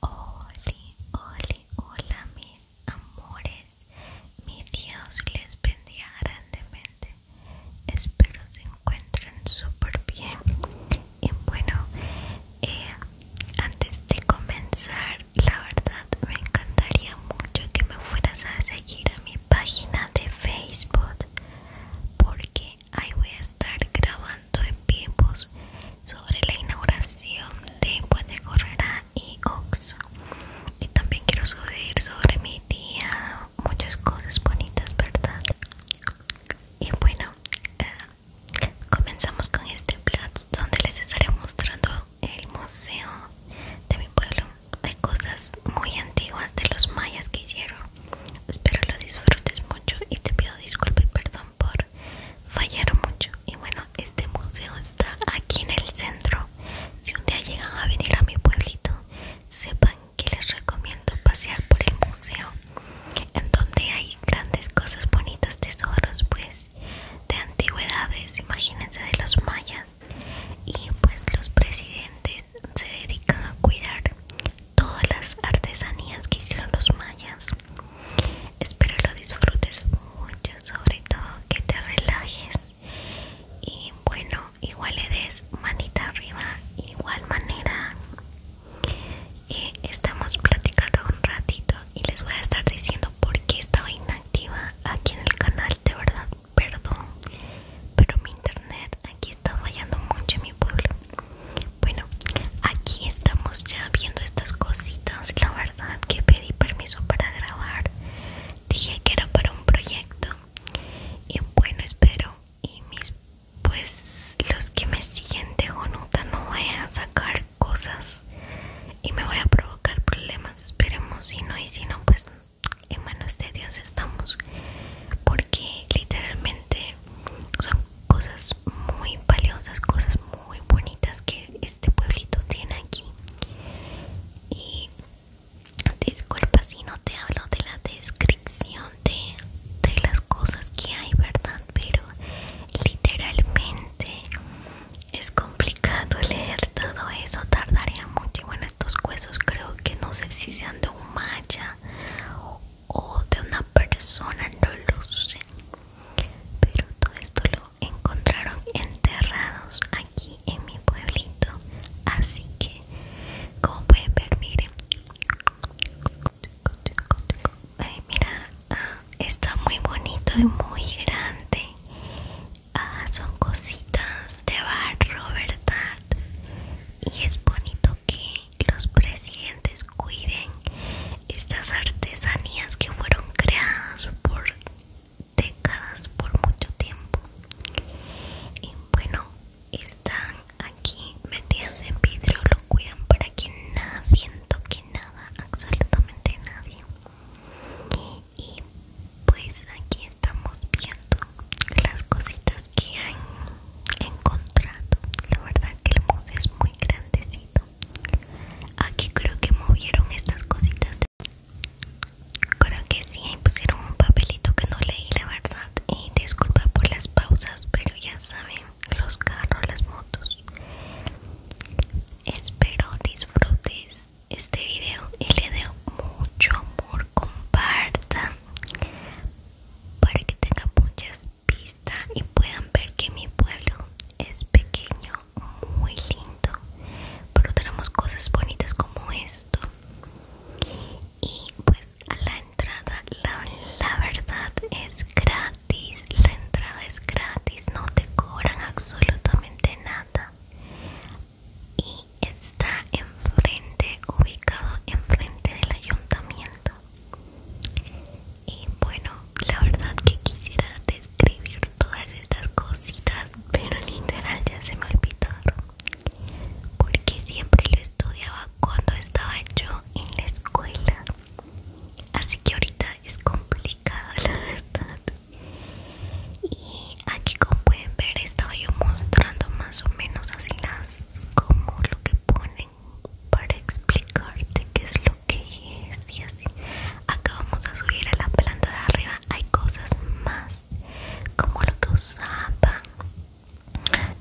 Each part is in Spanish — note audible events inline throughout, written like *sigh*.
Hola, hola mis amores, mi Dios les bendiga grandemente, espero se encuentren súper bien y bueno, eh, antes de comenzar, la verdad me encantaría mucho que me fueras a seguir a mi página de Facebook porque ahí voy a estar grabando en tiempos sobre la inauguración de Puente Correra y Oxo y también quiero subir sobre mi día muchas cosas bonitas verdad y bueno eh, comenzamos con este vlog donde les estaré mostrando el museo de mi pueblo hay cosas muy antiguas de los mayas que hicieron espero lo disfrutes mucho y te pido disculpas y perdón por fallar mucho y bueno este museo está aquí en el centro si un día llegan a venir a mi pueblito sepan que les recomiendo pasear por el museo en donde hay grandes cosas bonitas tesoros pues de antigüedades imagínense de los mayas y pues los presidentes se dedican a cuidar todas las artesanías que hicieron los mayas. Espero lo disfrutes mucho, sobre todo que te relajes. Y bueno, igual le des manita arriba, igual manera. Eh, estamos platicando un ratito y les voy a estar diciendo por qué estaba inactiva aquí en el canal. De verdad, perdón, pero mi internet aquí está fallando mucho en mi pueblo. Bueno, aquí estamos ya viendo estas cositas. La verdad que pedí permiso para grabar. Dije que era para un proyecto. Y bueno, espero. Y mis, pues, los que me siguen de Jonuta no vayan a sacar cosas y me voy a provocar problemas. Esperemos si no, y si no, pues en manos de Dios estamos. Porque literalmente son cosas muy valiosas, cosas muy bonitas que este pueblito tiene aquí. Y disculpa si no te hablo de la descripción de, las cosas que hay, ¿verdad? Pero literalmente es complicado leer todo eso, tardaría mucho. Y bueno, estos huesos creo que no sé si sean de un maya o de una persona no luce, pero todo esto lo encontraron enterrados aquí en mi pueblito así que como pueden ver miren mira ah, está muy bonito y muy grande ah, son cositas de barro verdad y es bonito que los presidentes cuiden estas artesanías que fueron creadas por décadas, por mucho tiempo. Y bueno, están aquí metidas en vidrio, lo cuidan para que nadie toque nada, absolutamente nadie. Y pues aquí estamos viendo las cositas que hay encontrado. La verdad que el museo es muy grandecito. Aquí creo que movieron estas cositas. Creo que sí, pusieron un papelito que no leí, la verdad. Y disculpa por las pausas, pero ya saben, los carros, las motos. Espero disfrutes este video y le de mucho amor. Compartan para que tenga muchas vista y puedan ver que mi pueblo es pequeño, muy lindo, pero tenemos cosas bonitas como esto. Y pues a la entrada, la, la verdad es gratis, la entrada es gratis, no te cobran absolutamente nada. Y está enfrente, ubicado enfrente del ayuntamiento. Y bueno, la verdad que quisiera describir todas estas cositas, pero literal ya se me olvidaron. Porque siempre lo estudiaba cuando estaba yo en la escuela. Así que ahorita es complicado, la verdad. Y aquí como pueden ver estaba yo mostrando más o menos así las como lo que pone para explicarte qué es lo que es y así acá vamos a subir a la planta de arriba hay cosas más como lo que usaban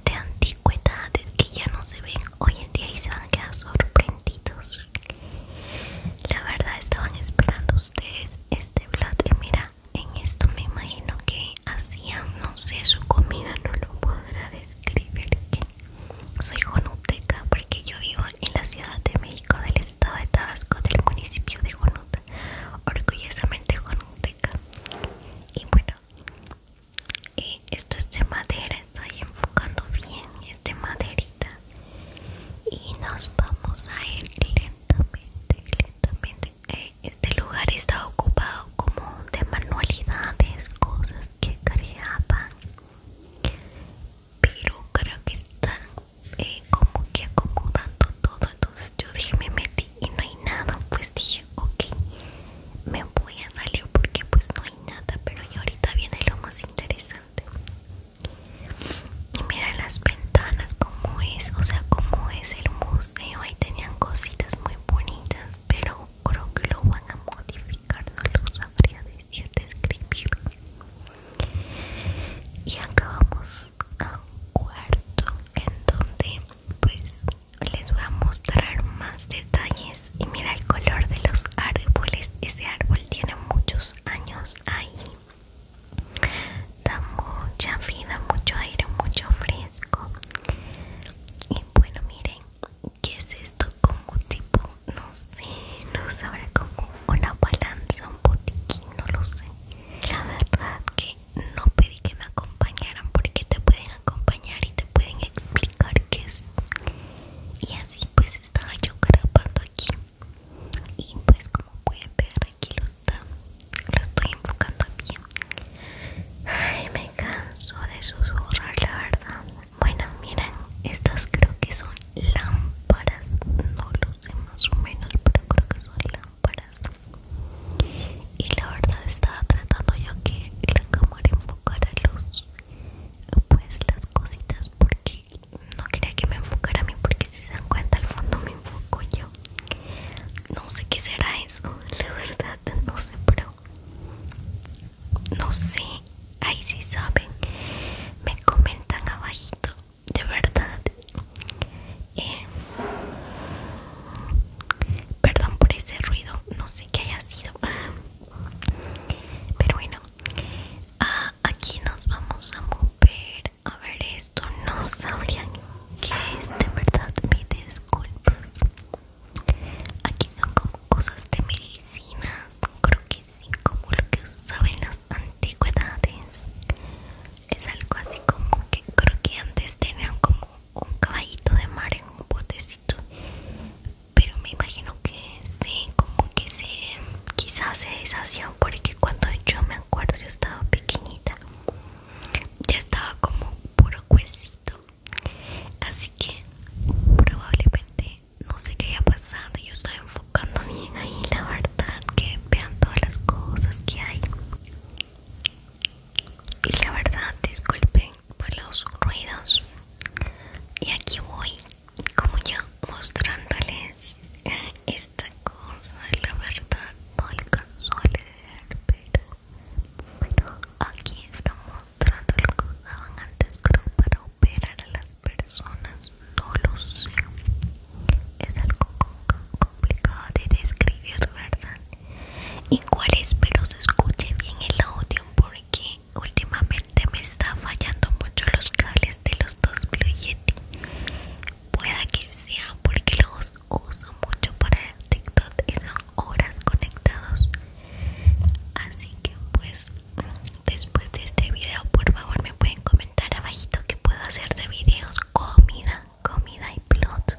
de antigüedades que ya no se ven hoy en día y se van a quedar sorprendidos la verdad estaban esperando ustedes este blog y mira en esto me imagino que hacían no sé su comida no lo podrá describir soy jonuteca porque yo vivo en la Ciudad de México, del estado de Tabasco, del municipio de Jonuta, orgullosamente jonuteca. Y bueno, eh, esto es de madera, estoy enfocando bien, es de maderita. Y nos vamos a ir lentamente, lentamente. Eh, este lugar está ocupado como de manualidades, cosas que creaban pero creo que está eh, como que acomodando todo entonces yo dije me metí y no hay nada pues dije ok me voy a salir porque pues no hay nada pero ahorita viene lo más interesante y mira las ventanas como es o sea como es el museo ahí tenían cositas muy bonitas pero creo que lo van a modificar, no lo sabría decir, describir. Y acabamos a un cuarto en donde pues les voy a mostrar más detalles y mira el color de los árboles, ese árbol tiene muchos años ahí da mucha vida, mucho aire, mucho fresco y bueno miren, ¿qué es esto? como tipo no sé, no sabré como una balanza, un botiquín, no lo sé. La verdad que no pedí que me acompañaran porque te pueden acompañar y te pueden explicar qué es. Y así pues estaba yo carapando aquí. Y pues como pueden ver aquí lo está, lo estoy enfocando bien. Ay, me canso de susurrar la verdad. Bueno, miren, estas creo que son lámparas, no lo sé más o menos, pero creo que son lámparas. Y la verdad estaba tratando yo que la cámara enfocara luz pues las cositas porque no quería que me enfocara a mí porque si se dan cuenta al fondo me enfoco yo. No sé qué será eso, la verdad, no sé, pero no sé ahí sí saben me comentan abajito de verdad eh, perdón por ese ruido no sé qué haya sido pero bueno ah, aquí nos vamos a mover a ver esto no sabían qué es de verdad me disculpas Aquí son como cosas de medicinas, creo que sí, como lo que usaban las antigüedades. Es algo así como que creo que antes tenían como un caballito de mar en un botecito. Pero me imagino que sí, como que se quizás se deshació porque cuando yo me acuerdo yo estaba pequeñita. Ya estaba como puro huesito. Así que probablemente no sé qué haya pasado, Yo estoy enfocando bien ahí, la verdad, que vean todas las cosas que hay. Y la verdad, disculpen por los ruidos. Y aquí voy, como yo, mostrándoles eh, esta cosa. La verdad, no alcanzo a leer, pero, pero aquí estamos lo lo que usaban antes para operar a las personas no lo sé es algo complicado de describir verdad igual espero se escuche bien el audio porque últimamente me está fallando mucho los cables de los dos Blue Yeti pueda que sea porque los uso mucho para TikTok y son horas conectados así que pues después de este video por favor me pueden comentar abajito que puedo hacer de videos comida comida y plot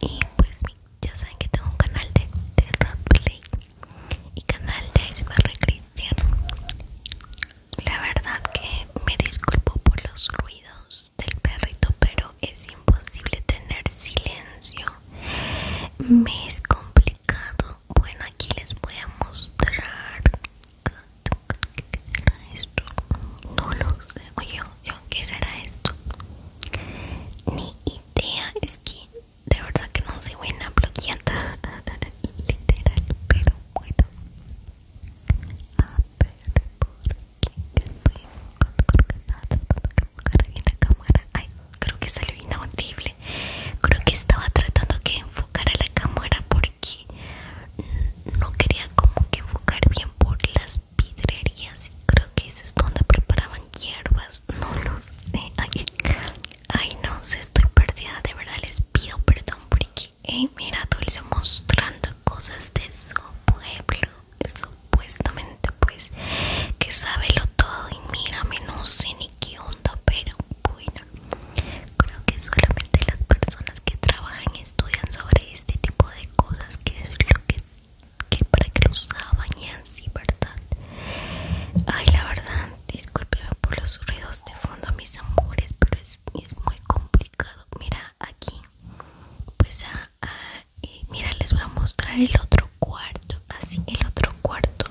y pues ya saben que tengo un canal de, de y canal de Sbr Cristiano la verdad que me disculpo por los ruidos del perrito pero es imposible tener silencio me es complicado bueno, aquí les voy a mostrar ¿Qué será esto? No lo sé Oye, ¿qué será esto? Mi idea Es que de verdad que no soy buena bloqueando *laughs* Literal, pero bueno A ver, por ¿Qué estoy cámara creo que salió inaudible creo que estaba tratando que a la cámara porque no quería como que enfocar bien por las vidrerías creo que eso es donde preparaban hierbas no lo sé ay, no sé estoy perdida de verdad les pido perdón porque eh, mira Dulce mostrando cosas de su pueblo supuestamente pues que sabe lo todo y mírame no sé qué onda, pero bueno, creo que solamente las personas que trabajan y estudian sobre este tipo de cosas, que es lo que, que para que lo y así, ¿verdad? Ay, la verdad, discúlpeme por los ruidos de fondo, mis amores, pero es, muy complicado. Mira aquí, pues, ah, ah, mira, les voy a mostrar el otro cuarto, así el otro cuarto.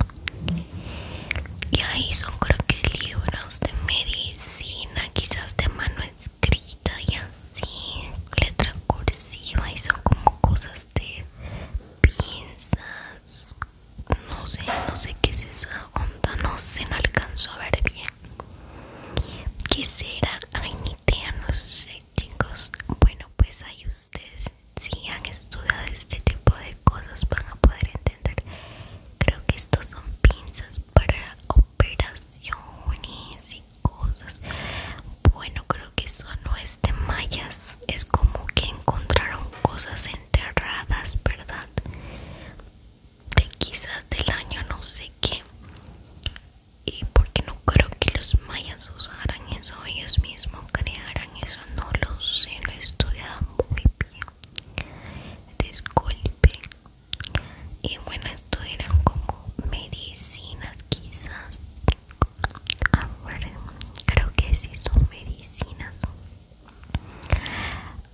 Y ahí son creo que libros de medicina, quizás de mano escrita y así, letra cursiva y son como cosas de pinzas. No sé, no sé qué es esa onda, no sé, no alcanzo a ver bien. ¿Qué será? Ay, no sé, chicos. Bueno, pues ahí ustedes si han estudiado este tipo de cosas van a poder entender. Creo que estos son pinzas para operaciones y cosas. Bueno, creo que eso no es de mayas. Es como que encontraron cosas enterradas, ¿verdad? De quizás del año no sé qué. Y porque no creo que los mayas usaran eso ellos mismos crearan eso no lo sé lo he muy bien disculpe y bueno esto eran como medicinas quizás a ver creo que sí son medicinas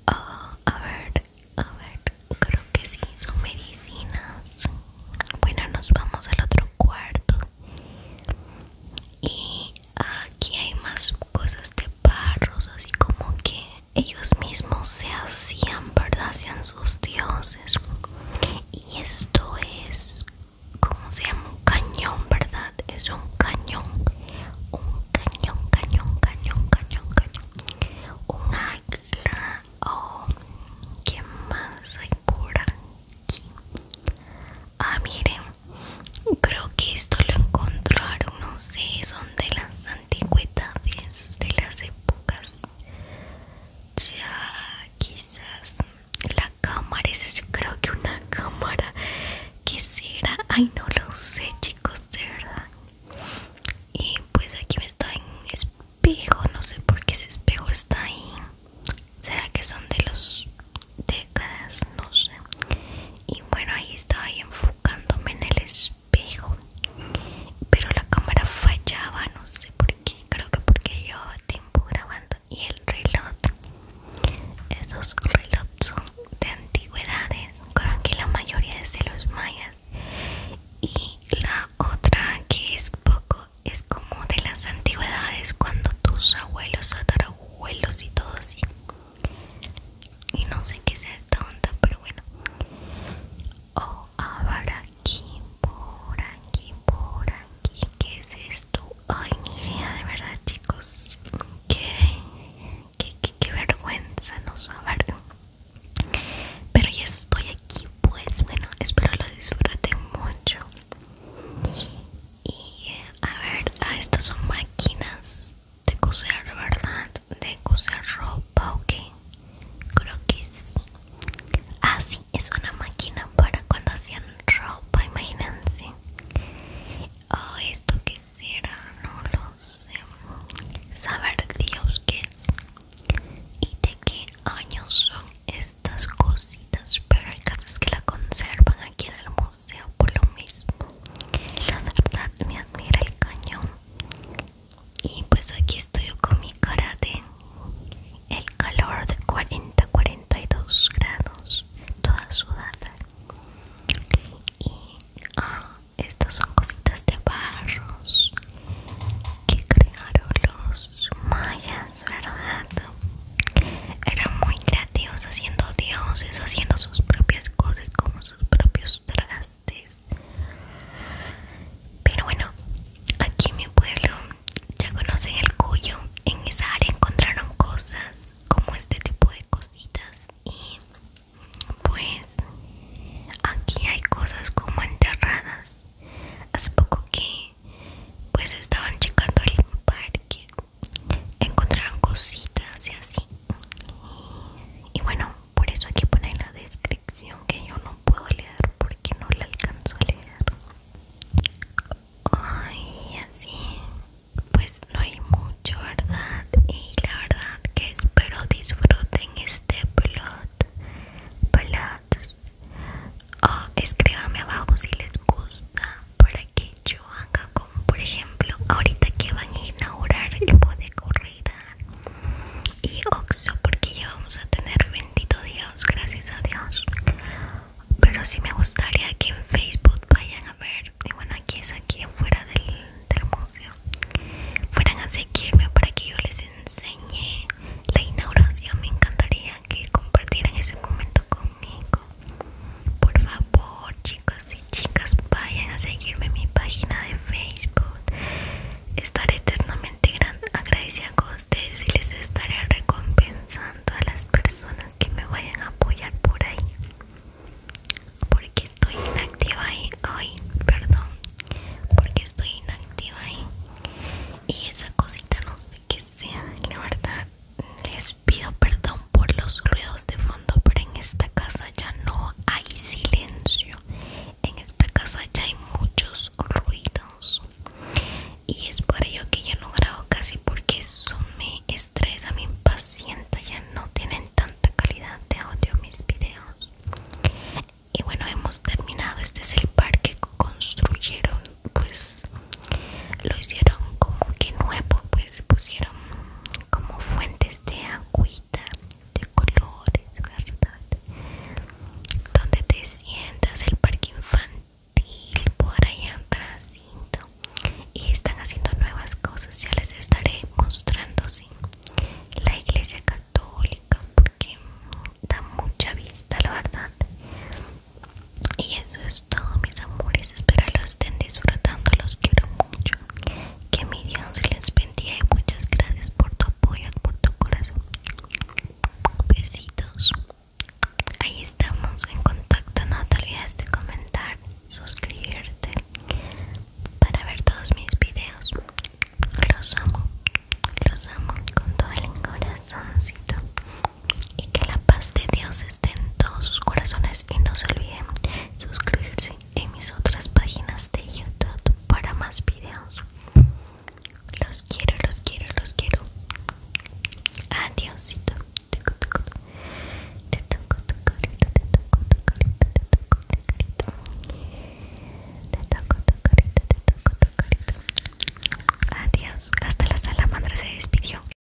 ah, a ver a ver creo que sí son medicinas bueno nos vamos al otro cuarto y aquí hay más cosas de parros, así como que ellos mismos se hacían verdad hacían sus dioses y esto es como se llama un cañón verdad es un cañón un cañón cañón cañón cañón cañón un águila oh, ¿Qué más hay por aquí? Ah, miren, Creo que esto lo encontraron, no sé, son de las antigüedades, de las épocas. Ya, quizás la cámara, es creo que una cámara. que será? Ay, no lo sé, chicos, de verdad. Y pues aquí me está en espejo, no sé por qué ese espejo está ahí será que son de los décadas no sé y bueno ahí estaba enfocándome en el espejo pero la cámara fallaba no sé por qué creo que porque llevaba tiempo grabando y el reloj esos relojes son de antigüedades creo que la mayoría es de los mayas y la otra que es poco es como de las antigüedades cuando tus abuelos Huelos y todo así. Y no sé qué sea esta onda, pero bueno. Oh, ahora aquí, por aquí, por aquí. ¿Qué es esto? Ay, ni idea, de verdad, chicos. Qué, qué, qué, vergüenza no verdad Pero ya estoy aquí, pues bueno, espero lo disfruten mucho. Y a ver, ah, estas son máquinas de coser, ¿verdad? De coser ropa, ok. Creo que sí. Ah, sí, es una máquina para cuando hacían ropa, imagínense. Oh, esto que será, no lo sé. Saber Dios qué es. Y de qué años son estas cositas. Pero el caso es que la conservan aquí en el museo por lo mismo la verdad me admira el cañón y pues aquí estoy con mi cara de el calor de 40 42 grados toda sudada y ah, estas son cositas de barros que crearon los mayas verdad eran era muy creativos haciendo dioses haciendo sus propias cosas como sus propios trastes pero bueno aquí en mi pueblo ya conocen el cuyo en esa área encontraron cosas como este tipo de cositas y pues aquí hay cosas como enterradas hace poco que pues estaban checando el parque encontraron cositas y así y bueno por eso aquí pone en la descripción que yo no puedo leer porque no la alcanzo a leer ay así pues no hay mucho verdad y la verdad que espero disfruten este plot plot o oh, escríbame abajo si les gusta para que yo haga como por ejemplo ahorita que van a inaugurar el de corrida y Oxo porque ya vamos a tener bendito Dios gracias a Dios pero si me gustaría que en Facebook vayan a ver y bueno aquí es aquí fuera del, del museo fueran a seguirme para que yo les enseñe la inauguración me encantaría que compartieran ese momento con por favor, chicos y chicas, vayan a seguirme en mi página de Facebook. Estaré eternamente gran agradecida con ustedes y les estaré recompensando a las personas que me vayan a apoyar por ahí. Porque estoy inactiva ahí hoy, perdón. Porque estoy inactiva ahí. Y esa cosita no sé qué sea, la verdad. Les pido perdón por los ruidos de fondo, pero en esta casa ya no hay silencio. En esta casa ya hay muchos ruidos. Y es por ello que ya no grabo casi porque eso me estresa, me impacienta. Ya no tienen tanta calidad de audio mis videos. Y bueno, hemos terminado. Este es el parque que construyeron pues lo hicieron como que nuevo pues pusieron como fuentes de agüita de colores verdad donde te sientas el parque infantil por allá atrás y están haciendo nuevas cosas ya les estaré mostrando sí la iglesia católica porque da mucha vista la verdad y eso es todo mis amores, espero lo estén disfrutando, los quiero mucho. Que mi Dios les bendiga y muchas gracias por tu apoyo, por tu corazón. Besitos. Ahí estamos en contacto, no te olvides de comentar, suscribirte para ver todos mis videos. Los amo, los amo con todo el corazóncito y que la paz de Dios esté en todos sus corazones y no se olviden suscribirse en mis otras páginas de YouTube para más videos. Los quiero, los quiero, los quiero. Adiósito. Adiós. Hasta la salamandra se despidió.